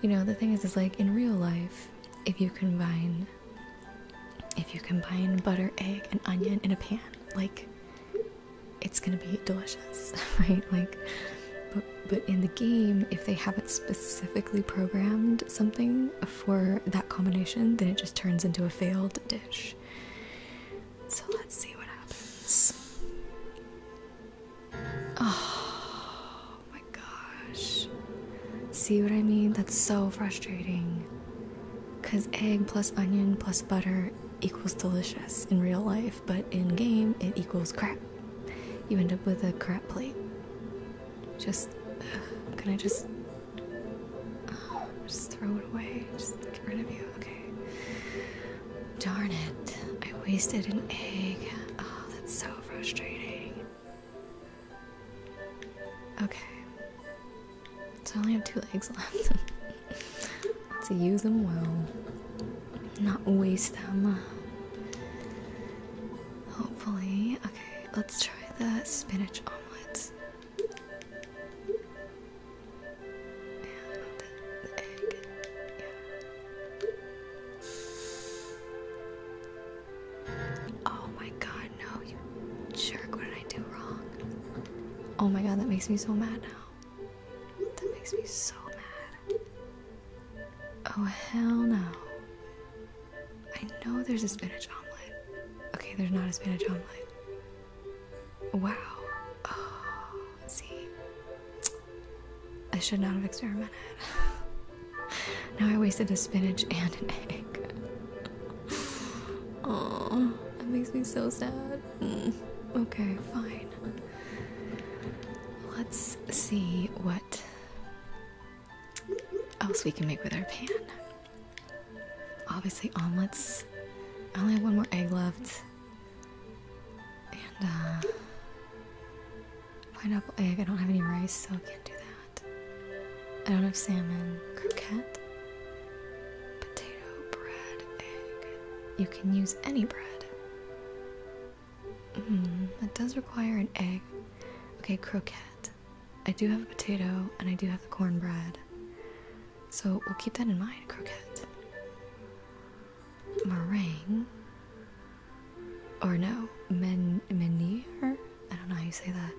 You know, the thing is, is like in real life, if you combine, if you combine butter, egg, and onion in a pan, like it's gonna be delicious, right? Like, but but in the game, if they haven't specifically programmed something for that combination, then it just turns into a failed so let's see what happens. Oh my gosh. See what I mean? That's so frustrating. Because egg plus onion plus butter equals delicious in real life, but in game it equals crap. You end up with a crap plate. Just, can I just Oh, just throw it away. Just get rid of you. Okay. Darn it. I wasted an egg. Oh, that's so frustrating. Okay. So I only have two eggs left. Let's use them well. Not waste them. Hopefully. Okay, let's try the spinach omelets. Oh my god, no, you jerk. What did I do wrong? Oh my god, that makes me so mad now. That makes me so mad. Oh hell no. I know there's a spinach omelet. Okay, there's not a spinach omelet. Wow. Oh, see, I should not have experimented. now I wasted a spinach and an egg. oh, that makes me so sad. Mm. Okay, fine. Let's see what else we can make with our pan obviously omelets. I only have one more egg left. And uh pineapple egg. I don't have any rice, so I can't do that. I don't have salmon. Croquette. Potato, bread, egg. You can use any bread. Mm, that does require an egg. Okay, croquette. I do have a potato and I do have the cornbread. So we'll keep that in mind, croquette. Meringue. Or no, men menhir? I don't know how you say that.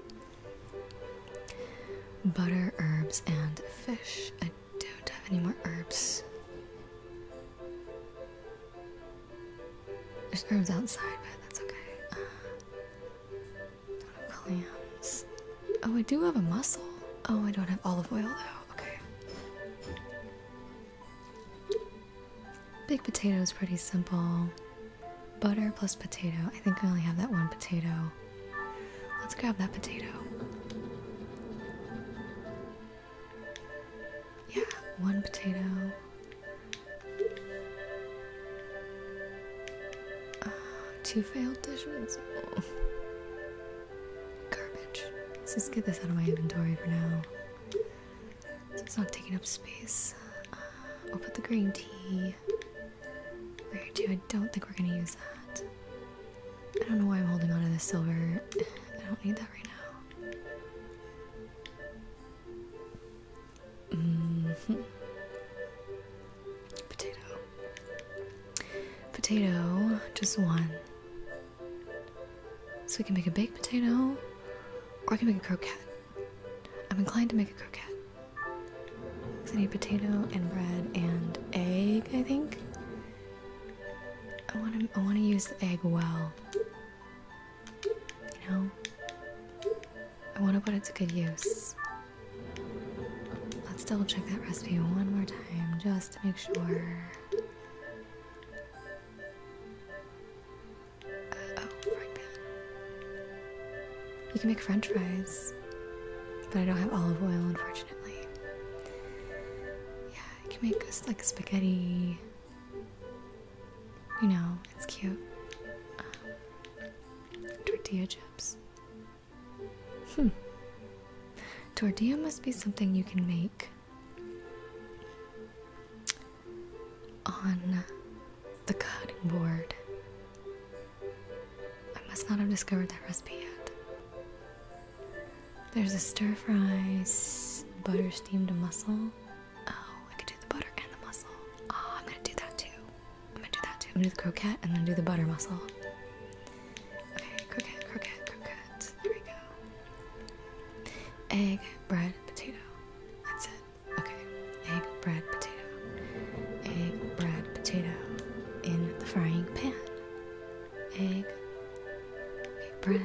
Butter, herbs, and fish. I don't have any more herbs. There's herbs outside, but that's okay. Uh, Williams. Oh, I do have a mussel. Oh, I don't have olive oil though. Okay. Big potato is pretty simple. Butter plus potato. I think I only have that one potato. Let's grab that potato. Yeah, one potato. Uh, two failed dishes. Oh. Garbage. Let's just get this out of my inventory for now. So it's not taking up space. Uh, I'll put the green tea right here I don't think we're gonna use that. I don't know why I'm holding on to this silver. I don't need that right now. Mm Potato. Potato, just one. So we can make a baked potato, or I can make a croquette. I'm inclined to make a croquette. I need potato and bread and egg, I think. I want to I want to use the egg well. You know? I want to put it to good use. Let's double check that recipe one more time just to make sure. Uh, oh, frying pan. You can make french fries, but I don't have olive oil, unfortunately. Yeah, you can make this like spaghetti. You know, it's cute. Uh, tortilla chips. Hmm. Tortilla must be something you can make on the cutting board. I must not have discovered that recipe yet. There's a stir fry butter steamed mussel. Oh, I could do the butter and the mussel. Oh, I'm gonna do that too. I'm gonna do that too. I'm gonna do the croquette and then do the butter muscle. Okay, croquette, croquette, croquette. There we go. Egg, bread, potato. That's it. Okay. Egg, bread, potato. Egg, bread, potato. In the frying pan. Egg, okay, bread,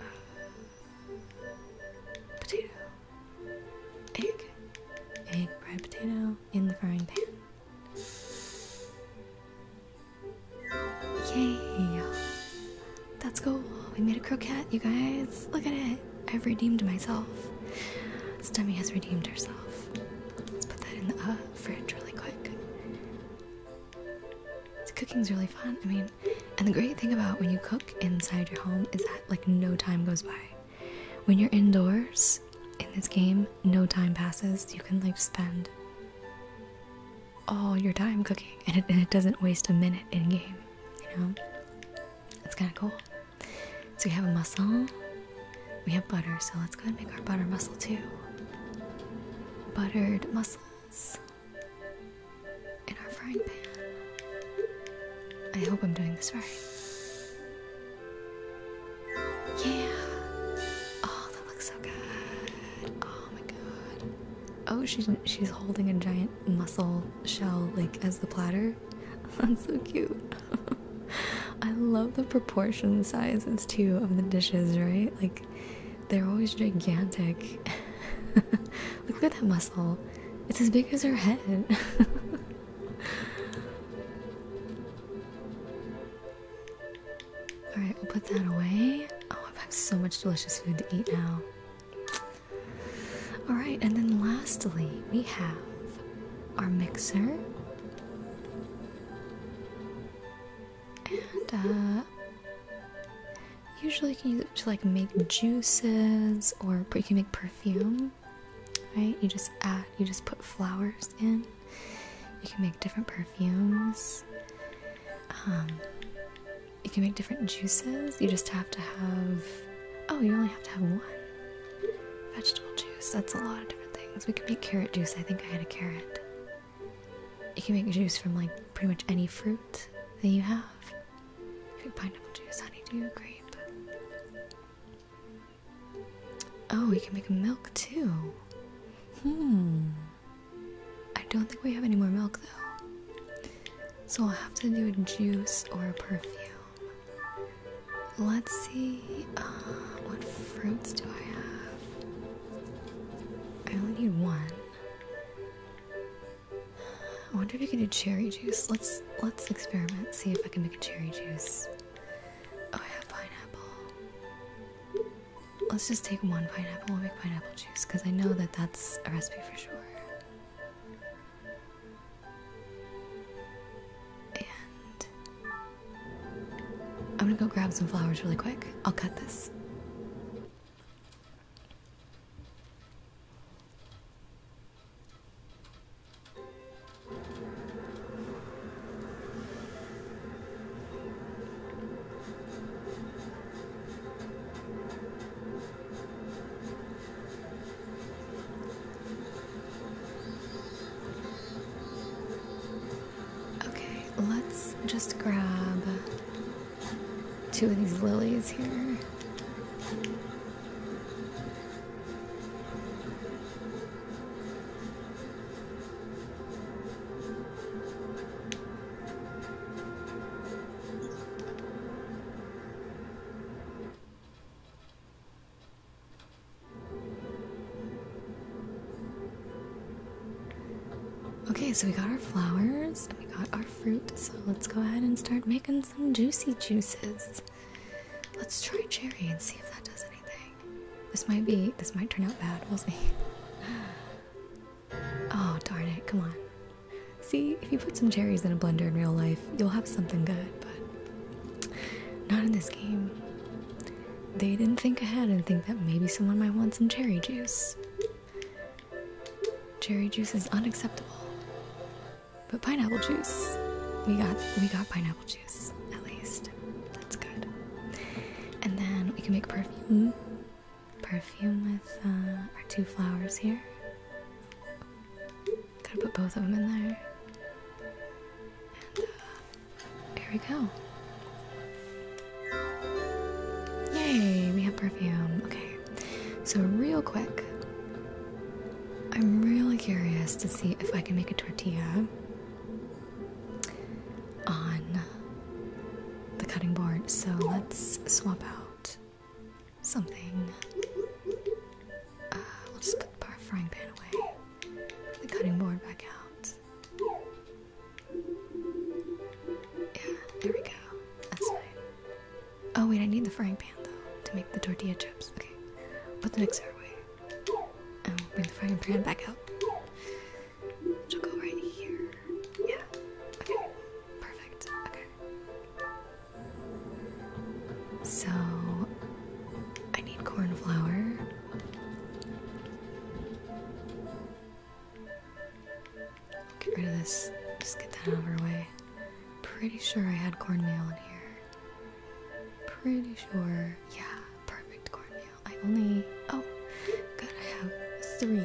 uh, uh, potato. Egg, egg, bread, potato in the frying pan. Yay! That's cool. We made a croquette, you guys. Look at it. I've redeemed myself. Stummy has redeemed herself. Let's put that in the fridge really quick. So cooking's really fun. I mean, and the great thing about when you cook inside your home is that like no time goes by. When you're indoors in this game, no time passes. You can like spend all your time cooking and it, doesn't waste a minute in game, you know? It's kind of cool. So we have a mussel, we have butter, so let's go and make our butter mussel too. Buttered mussels in our frying pan. I hope I'm doing this right. Yeah. Oh, that looks so good. Oh my god. Oh, she's she's holding a giant mussel shell like as the platter. That's so cute. I love the proportion sizes too of the dishes, right? Like they're always gigantic. Look at that mussel. It's as big as her head. Alright, we'll put that away. Oh, I've so much delicious food to eat now. Alright, and then lastly, we have our mixer. And, uh, usually you can use it to like make juices or you can make perfume right? You just add, you just put flowers in. You can make different perfumes. Um, you can make different juices. You just have to have, oh, you only have to have one vegetable juice. That's a lot of different things. We can make carrot juice. I think I had a carrot. You can make juice from like pretty much any fruit that you have. Pineapple juice, honeydew, grape. Oh, we can make milk too. Hmm. I don't think we have any more milk though. So I'll have to do a juice or a perfume. Let's see. Uh, what fruits do I have? I only need one. I wonder if you can do cherry juice. Let's let's experiment. See if I can make a cherry juice. Oh, I pineapple. Let's just take one pineapple and we'll make pineapple juice because I know that that's a recipe for sure. And I'm gonna go grab some flowers really quick. I'll cut this. Okay, let's just grab two of these lilies here. Okay, so we got our flowers and we got our fruit, so let's go ahead and start making some juicy juices. Let's try cherry and see if that does it. This might be, this might turn out bad. We'll see. Oh, darn it. Come on. See, if you put some cherries in a blender in real life, you'll have something good, but not in this game. They didn't think ahead and think that maybe someone might want some cherry juice. Cherry juice is unacceptable. But pineapple juice, we got we got pineapple juice at least. That's good. And then we can make perfume. Perfume with uh, our two flowers here. Gotta put both of them in there. And uh, here we go. Yay, we have perfume. Okay, so real quick, I'm really curious to see if I can make a tortilla on the cutting board. So let's swap out something. Uh, we'll just put our frying pan away. The cutting board back out. Yeah, there we go. That's fine. Oh wait, I need the frying pan though to make the tortilla chips. Okay, put the mixer away. Oh, bring the frying pan back out. She'll go right here. Yeah. Okay. Perfect. Okay. So I need corn flour. Get rid of this. Just get that out of our way. Pretty sure I had cornmeal in here. Pretty sure. Yeah, perfect cornmeal. I only. Oh, good. I have three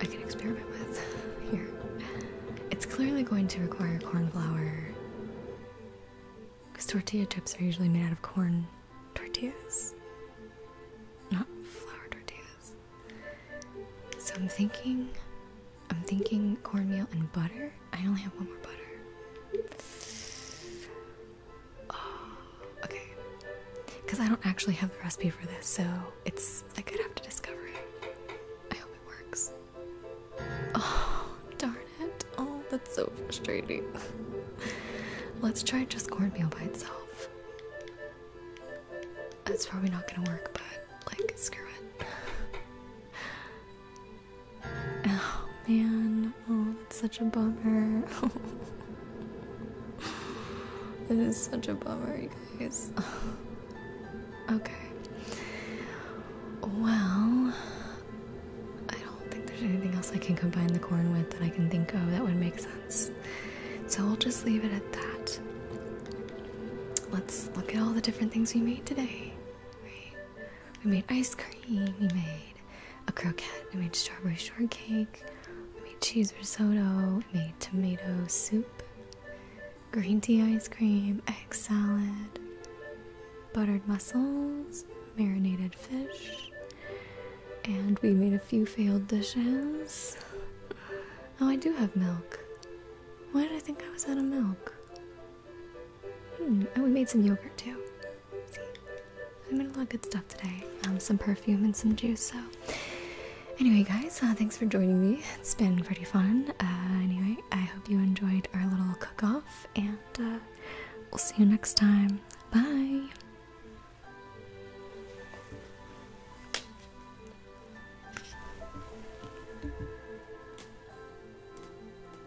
I can experiment with here. It's clearly going to require corn flour. Because tortilla chips are usually made out of corn tortillas, not flour tortillas. So I'm thinking, I'm thinking cornmeal and butter. I only have one more butter. Oh, okay. Because I don't actually have the recipe for this, so it's like i could have to discover it. I hope it works. Oh, darn it. Oh, that's so frustrating. Let's try just cornmeal by itself. That's probably not gonna work, but like, screw it. Oh man, oh, that's such a bummer. it is such a bummer, you guys. okay. Well, I don't think there's anything else I can combine the corn with that I can think of that would make sense. So i will just leave it at that. Let's look at all the different things we made today. We made ice cream. We made a croquette. We made strawberry shortcake. We made cheese risotto. We made tomato soup. Green tea ice cream. Egg salad. Buttered mussels. Marinated fish. And we made a few failed dishes. Oh, I do have milk. Why did I think I was out of milk? Hmm, and we made some yogurt too i made a lot of good stuff today. Um, some perfume and some juice. So, anyway, guys, uh, thanks for joining me. It's been pretty fun. Uh, anyway, I hope you enjoyed our little cook-off, and uh, we'll see you next time. Bye.